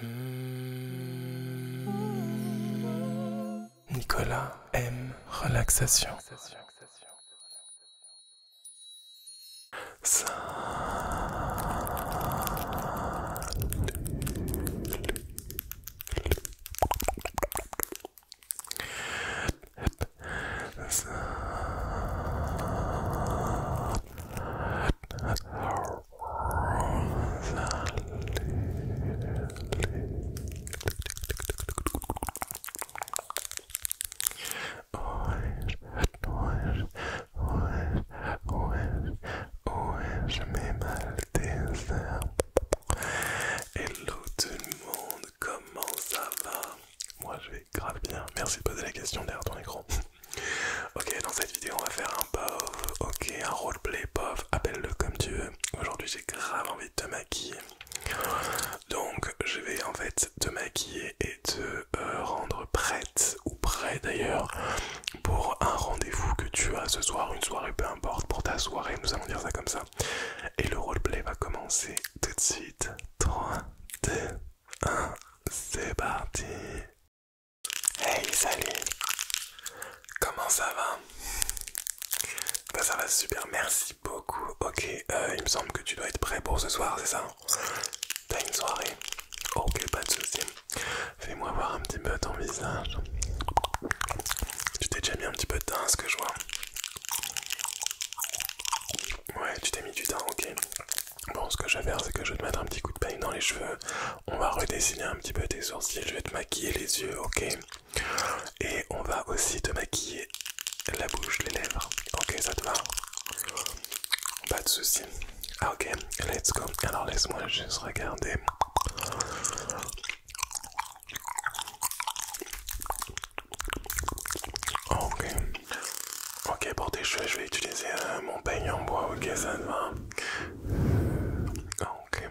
Hmm. Nicolas aime relaxation est-je? mes maltésins. Hello tout le monde, comment ça va Moi je vais grave bien. Merci de poser la question derrière ton écran. Ok, dans cette vidéo, on va faire un POV, ok, un roleplay POV, appelle-le comme tu veux. Aujourd'hui, j'ai grave envie de te maquiller. Donc, je vais en fait te maquiller et te euh, rendre prête, ou prêt d'ailleurs, pour un rendez-vous que tu as ce soir, une soirée, peu importe, pour ta soirée, nous allons dire ça comme ça. Et le roleplay va commencer tout de suite. 3, 2, 1, c'est parti Hey, salut Comment ça va ben, Ça va super, merci beaucoup. Ok, euh, il me semble que tu dois être prêt pour ce soir, c'est ça T'as une soirée Ok, pas de soucis. Fais-moi voir un petit peu ton visage. Tu t'es déjà mis un petit peu de teint, ce que je vois. Ouais, tu t'es mis du teint, ok. Bon, ce que je vais faire, c'est que je vais te mettre un petit coup de peigne dans les cheveux. On va redessiner un petit peu tes sourcils. Je vais te maquiller les yeux, ok Et on va aussi te maquiller la bouche, les lèvres. Ok, ça te va Pas de soucis. Ah, ok, let's go. Alors laisse-moi juste regarder. Ok. Ok, pour tes cheveux, je vais utiliser euh, mon peigne en bois. Ok, ça te va ah, ok.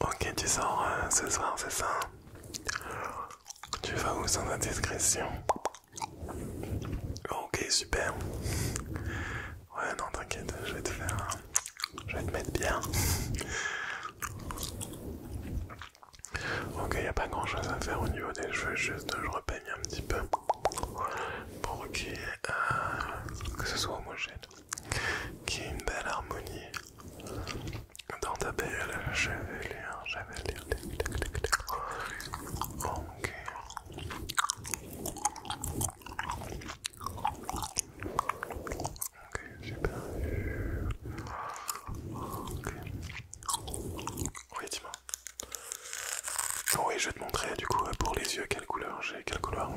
Ok, tu sors euh, ce soir, c'est ça Tu vas où sans indiscrétion Ok, super. Ouais, non, t'inquiète, je vais te faire. Je vais te mettre bien. Ok, il a pas grand chose à faire au niveau des cheveux, juste je repeigne un petit peu pour y euh, que ce soit homogène, qu'il y ait une belle harmonie dans ta belle chevelure, ok. Ok, super. Ok. Oui, oui, je vais te montrer du coup euh, pour les yeux quelle couleur j'ai, quelle couleur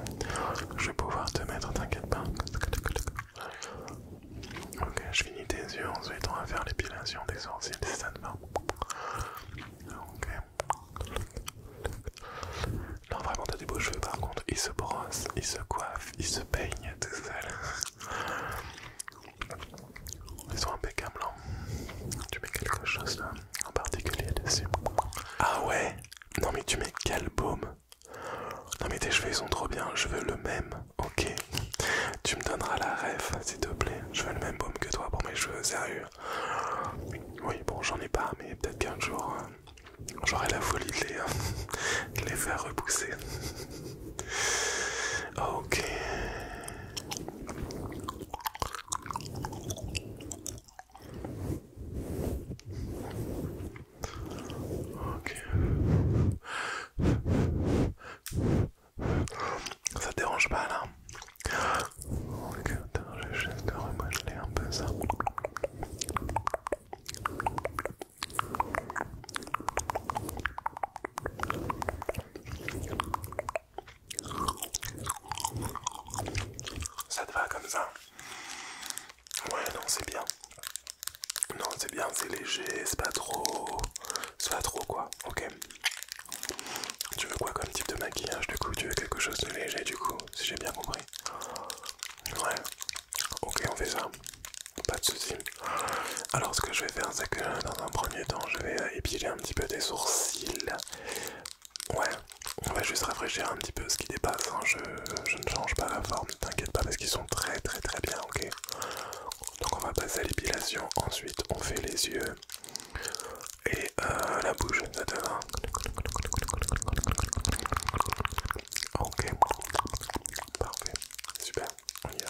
je vais pouvoir te mettre, t'inquiète pas. Ok, je finis tes yeux, ensuite on à faire l'épilation des sourcils, des ça te Ok. Non, vraiment, t'as des beaux cheveux par contre, ils se brossent, ils se coiffent, ils se peignent tout seul. Ils sont impeccables. tu mets quelque chose là, en particulier dessus. Ah ouais Non mais tu mets quel baume Non mais tes cheveux ils sont trop bien, je veux le même. Ok. Tu me donneras la ref s'il te plaît. Je veux le même baume que toi pour mes cheveux, sérieux. Oui bon j'en ai pas mais peut-être qu'un jour euh, j'aurai la folie de les euh, faire repousser. Ok. Ok. Ça dérange pas là Ok, attends, je vais juste te remodeler un peu ça. Ça te va comme ça Ouais, non, c'est bien. Non, c'est bien, c'est léger, c'est pas trop. C'est pas trop quoi, ok. Tu veux quoi comme type de maquillage du coup Tu veux quelque chose de léger du coup, si j'ai bien compris Ouais, ok, on fait ça. Pas de soucis. Alors, ce que je vais faire, c'est que dans un premier temps, je vais épiler un petit peu tes sourcils. Ouais, on va juste rafraîchir un petit peu ce qui dépasse. Hein. Je, je ne change pas la forme, t'inquiète pas, parce qu'ils sont très très très bien, ok Donc on va passer à l'épilation, ensuite on fait les yeux et euh, la bouche, Ok, parfait, super, on y va.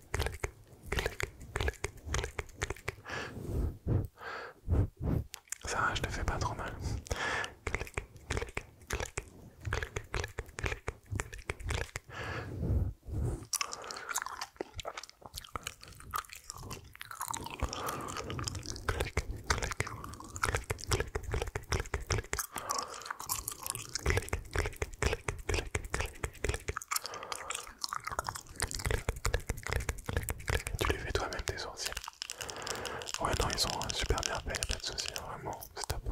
clic, clic, clic, clic, clic. Ça je te fais pas trop mal. Clic, clic, clic, clic, clic, clic, clic, clic. Clic, clic, clic, clic, clic, clic, clic. Clic, clic, clic, clic, clic, clic. Tu les fais toi-même tes sourcils. Ouais, non, ils sont super bien pas de soucis, vraiment, c'est top.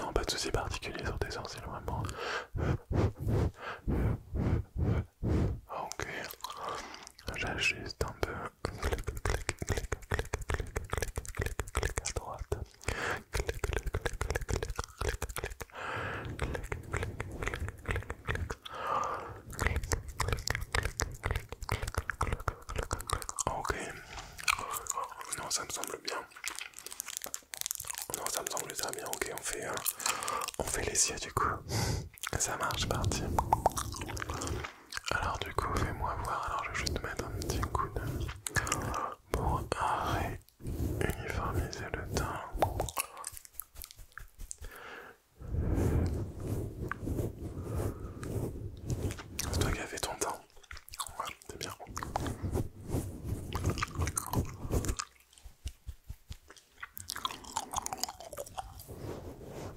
Non, pas de soucis particuliers sur tes sourcils, vraiment. Ok. J'ajuste un peu. Clic, clic, clic, clic, clic, clic, clic, clic, clic Clic, clic, clic, clic, clic, clic, clic, Ok, non, ça me semble bien. Non, ça me semble très bien. Ok, on fait, euh, on fait les siens du coup. Ça marche, parti. Alors du coup, fais-moi voir. Alors je vais juste mettre un petit coup de pour réuniformiser le teint. C'est toi qui ton teint. Ouais, c'est bien.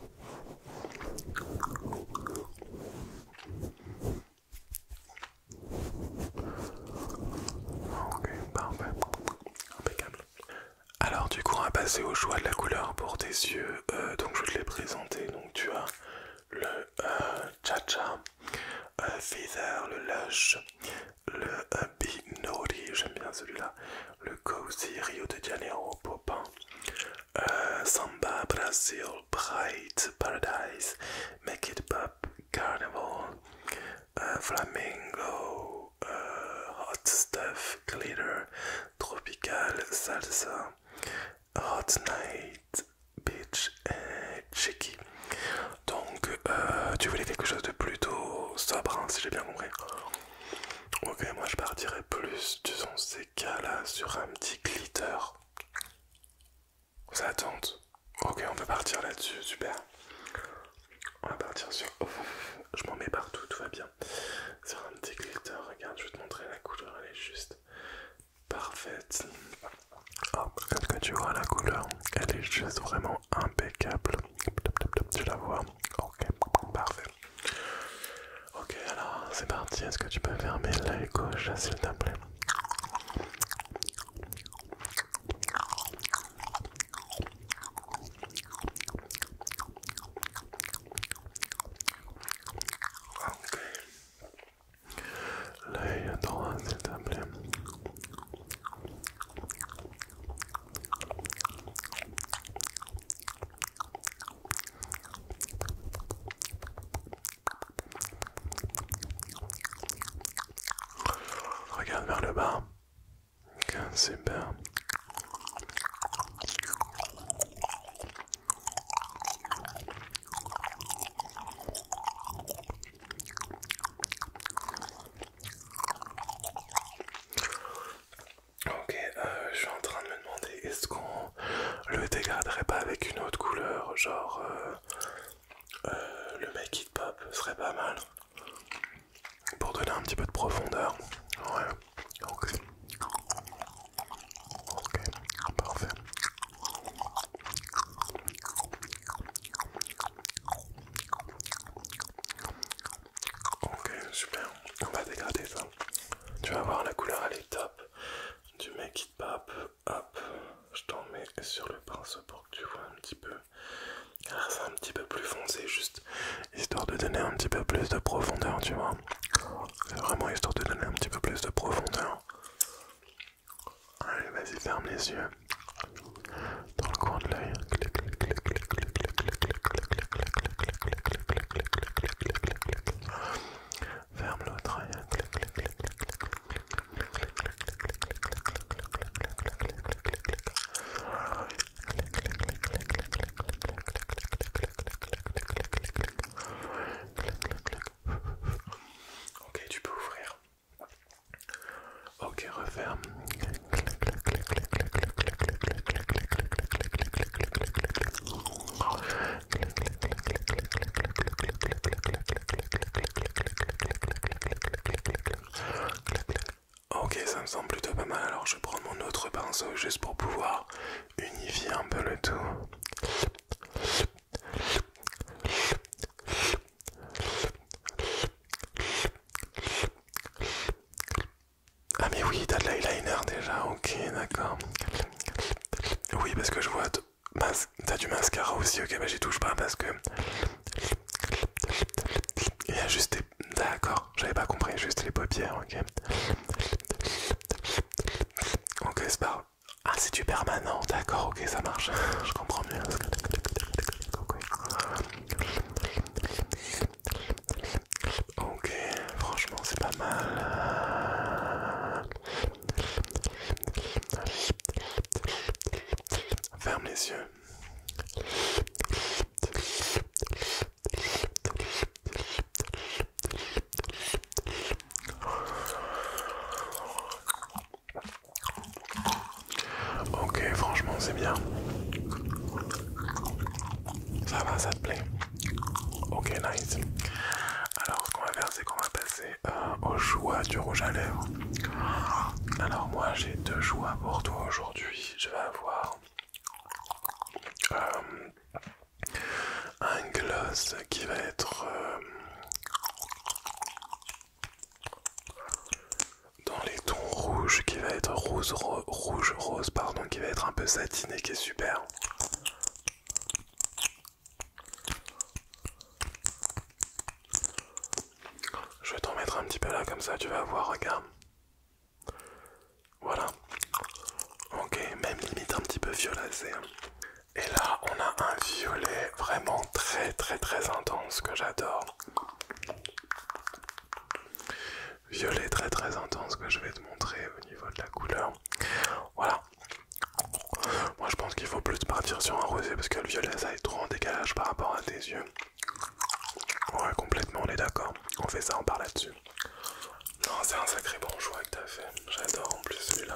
Ok, parfait. Impeccable. Alors du coup on va passer au choix de la couleur pour tes yeux. Euh, donc je vais te les présenter. Donc tu as le euh, Cha-Cha, euh, Feather, le Lush, le Binori, j'aime bien celui-là, le Cozy Rio de Janeiro euh, Samba, Brazil, Bright, Paradise, Make It Pop, Carnival, euh, Flamingo, euh, Hot Stuff, Glitter, Tropical, Salsa, Hot Night, Beach et Donc, tu voulais quelque chose de plutôt sobre, hein, si j'ai bien compris. Ok, moi je partirais plus, disons, ces cas-là sur un petit glitter. vous attendez? Ok, on va partir là-dessus, super. On va partir sur... je m'en mets partout, tout va bien. Sur un petit glitter, regarde, je vais te montrer la couleur, elle est juste parfaite. Oh, comme que tu vois la couleur, elle est juste vraiment impeccable. Tu la vois Ok, parfait. Ok, alors c'est parti. Est-ce que tu peux fermer l'œil gauche, s'il te plaît L'œil droit, s'il te plaît. Regarde vers le bas. bien. Ok, euh, je suis en train de me demander est-ce qu'on le dégraderait pas avec une autre couleur, genre euh, euh, le make it pop serait pas mal pour donner un petit peu de profondeur. Ouais, ok, ok, parfait. Ok, super. On va dégrader ça. Tu vas voir, la couleur elle est top. Du make it pop. Hop, je t'en mets sur le pinceau pour que tu vois un petit peu. c'est un petit peu plus foncé, juste histoire de donner un petit peu plus de profondeur, tu vois. vraiment histoire de donner un petit peu plus de profondeur. Allez, vas-y, ferme les yeux. Dans le coin de l'œil. Ferme l'autre Ok, tu peux ouvrir. Ok, referme. Ok, ça me semble plutôt pas mal. Alors je prends mon autre pinceau juste pour pouvoir unifier un peu le tout. Ah mais oui, t'as de l'eyeliner déjà, ok, d'accord. Oui, parce que je vois, t'as du mascara aussi, ok, bah j'y touche pas parce que... Il y a juste des... D'accord, j'avais pas compris, juste les paupières, ok. Ok, c'est pas... Ah, c'est du permanent, d'accord, ok, ça marche, je comprends mieux. Ok, franchement c'est pas mal. Ferme les yeux. Ok, franchement c'est bien. Ça va, ça te plaît. Ok, nice. Alors, ce qu'on va faire, c'est qu'on va passer euh, aux au choix du rouge à lèvres. Alors, moi, j'ai deux choix pour toi aujourd'hui. Je vais avoir euh, un gloss qui va être euh, dans les tons rouges, qui va être rose, rouge, rose, pardon, qui va être un peu satiné, qui est super. Je vais t'en mettre un petit peu là comme ça, tu vas voir, regarde. Voilà. Ok, même limite un petit peu violacé. Hein. Et là, on a un violet vraiment très très très intense que j'adore violet très très intense que je vais te montrer au niveau de la couleur. Voilà. Moi je pense qu'il faut plus partir sur un rosé parce que le violet ça est trop en décalage par rapport à tes yeux. Ouais complètement on est d'accord. On fait ça, on part là-dessus. Non c'est un sacré bon choix que t'as fait. J'adore en plus celui-là.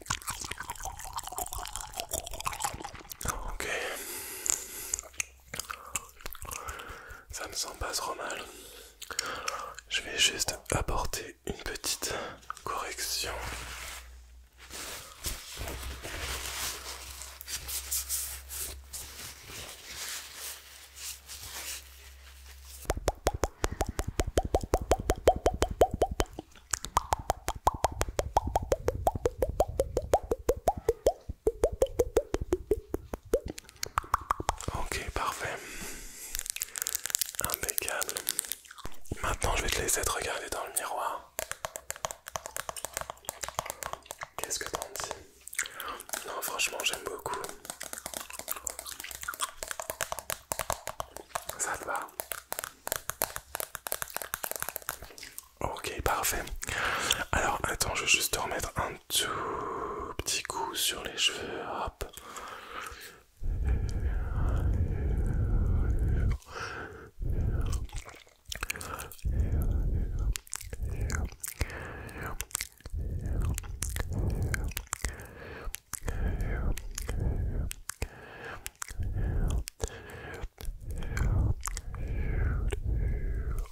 Ok. Ça me sent pas trop mal. Je vais juste apporter une petite correction. Ok, parfait. Impeccable. Maintenant, je vais te laisser te regarder dans le miroir. Qu'est-ce que t'en dis Non, franchement, j'aime beaucoup. Ça te va Ok, parfait. Alors, attends, je vais juste remettre un tout petit coup sur les cheveux.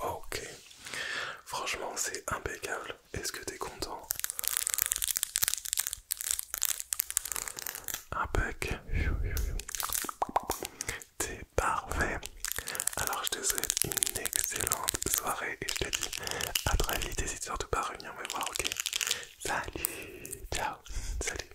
Ok. Franchement, c'est impeccable. Est-ce que t'es content Impeccable T'es parfait. Alors, je te souhaite une excellente soirée et je te dis à très vite. N'hésite surtout pas à revenir me voir, ok Salut Ciao Salut